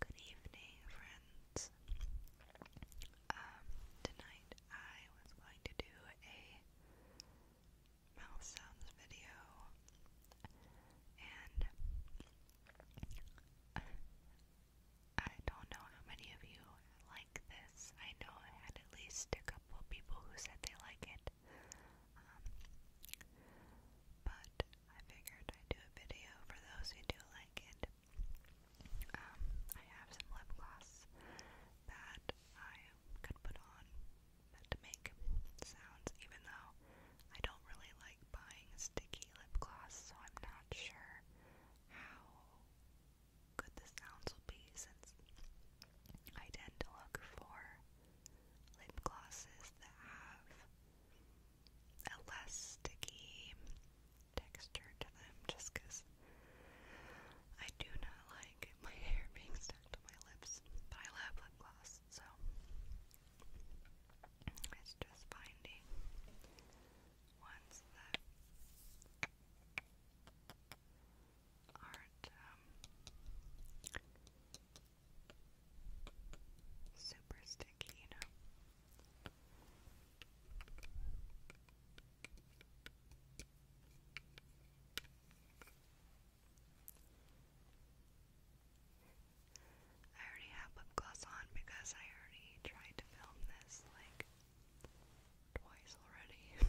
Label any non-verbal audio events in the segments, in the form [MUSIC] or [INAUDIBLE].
Good evening, friends. Um, tonight I was going to do a mouth sounds video, and I don't know how many of you this. I know I had at least a couple people who said they like it. Um, but I figured I'd do a video for those who do like it. Um, I have some lip gloss that I could put on to make sounds, even though I don't really like buying sticky lip gloss, so I'm not sure how good the sounds will be since I tend to look for lip glosses that have a less sticky texture to them just because I do not like my [LAUGHS] hair being stuck to my lips, but I love lip gloss, so it's just finding ones that aren't um, super sticky, you know. I already have lip gloss on because I already tried to film this like Twice already.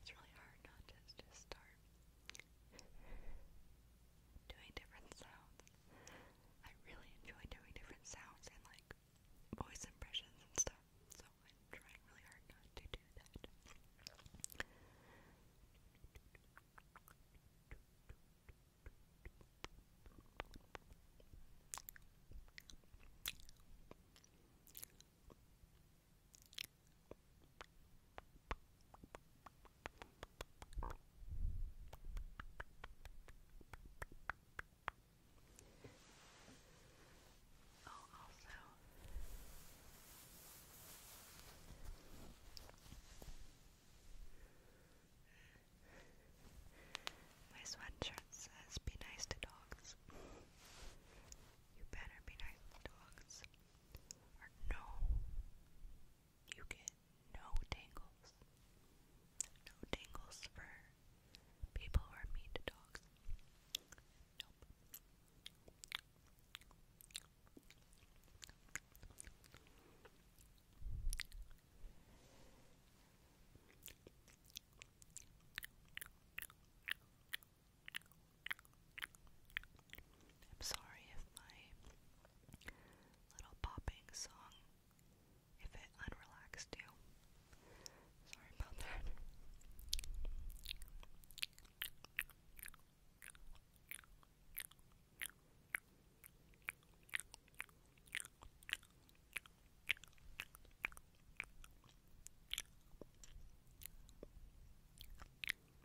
It's really hard not to just start doing different sounds. I really enjoy doing different sounds and like voice impressions and stuff. So I'm trying really hard not to do that. Oh, also, my sweatshirt says, Be nice to dogs. [LAUGHS] You better be nice to dogs or no, you get no tangles. No tangles for people who are dogs. Nope. I'm sorry if my little popping song, if it unrelaxed you. Sorry about that.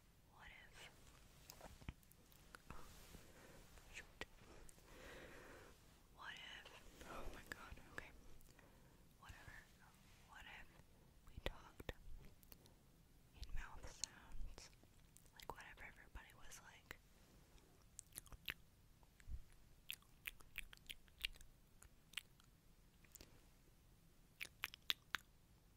What if? shoot. What if? Oh my god, okay. Whatever. What if we talked in mouth sounds? Like, whatever everybody was like.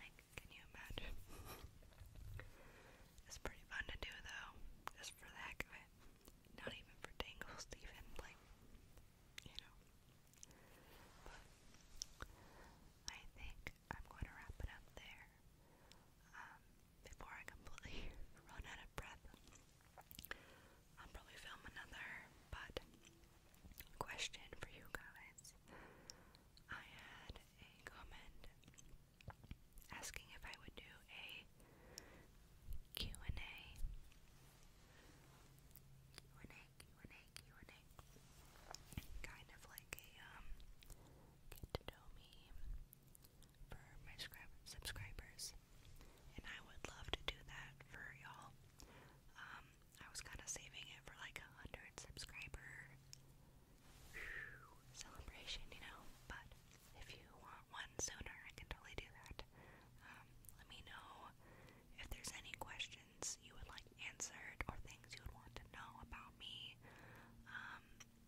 Like, can you imagine? it's pretty fun to do though, just for the heck of it. Not even for tangles, [LAUGHS] even like, you know. But I think I'm going to wrap it up there um, before I completely [LAUGHS] run out of breath. I'll probably film another, but question for you guys. I had a comment asking if I would do a and a and a and a and a Kind of like a, um, for my subscribers, and I would love to do that for y'all. Um, I was kind of saving it for like a hundred subscriber celebration, you know. But if you want one sooner, I can totally do that. Um, let me know if there's any questions you would like answered or things you would want to know about me. Um,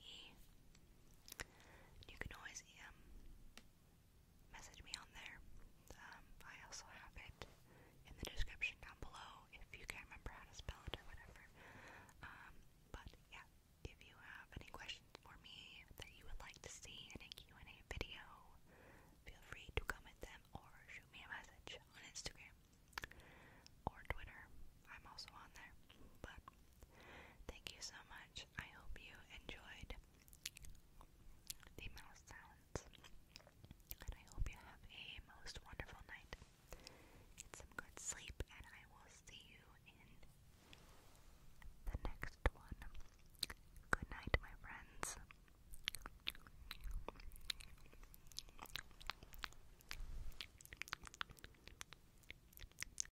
E. You can always um, message me on there. Um, I also have it in the description down below if you can't remember how to spell it or whatever. Um, but yeah, if you have any questions for me that you would like to see in a and a video, feel free to comment them or shoot me a message on Instagram or Twitter. I'm also on there. But Thank you so much. I hope you enjoyed the mouse sounds. And I hope you have a most wonderful night. Get some good sleep, and I will see you in the next one. Good night, my friends.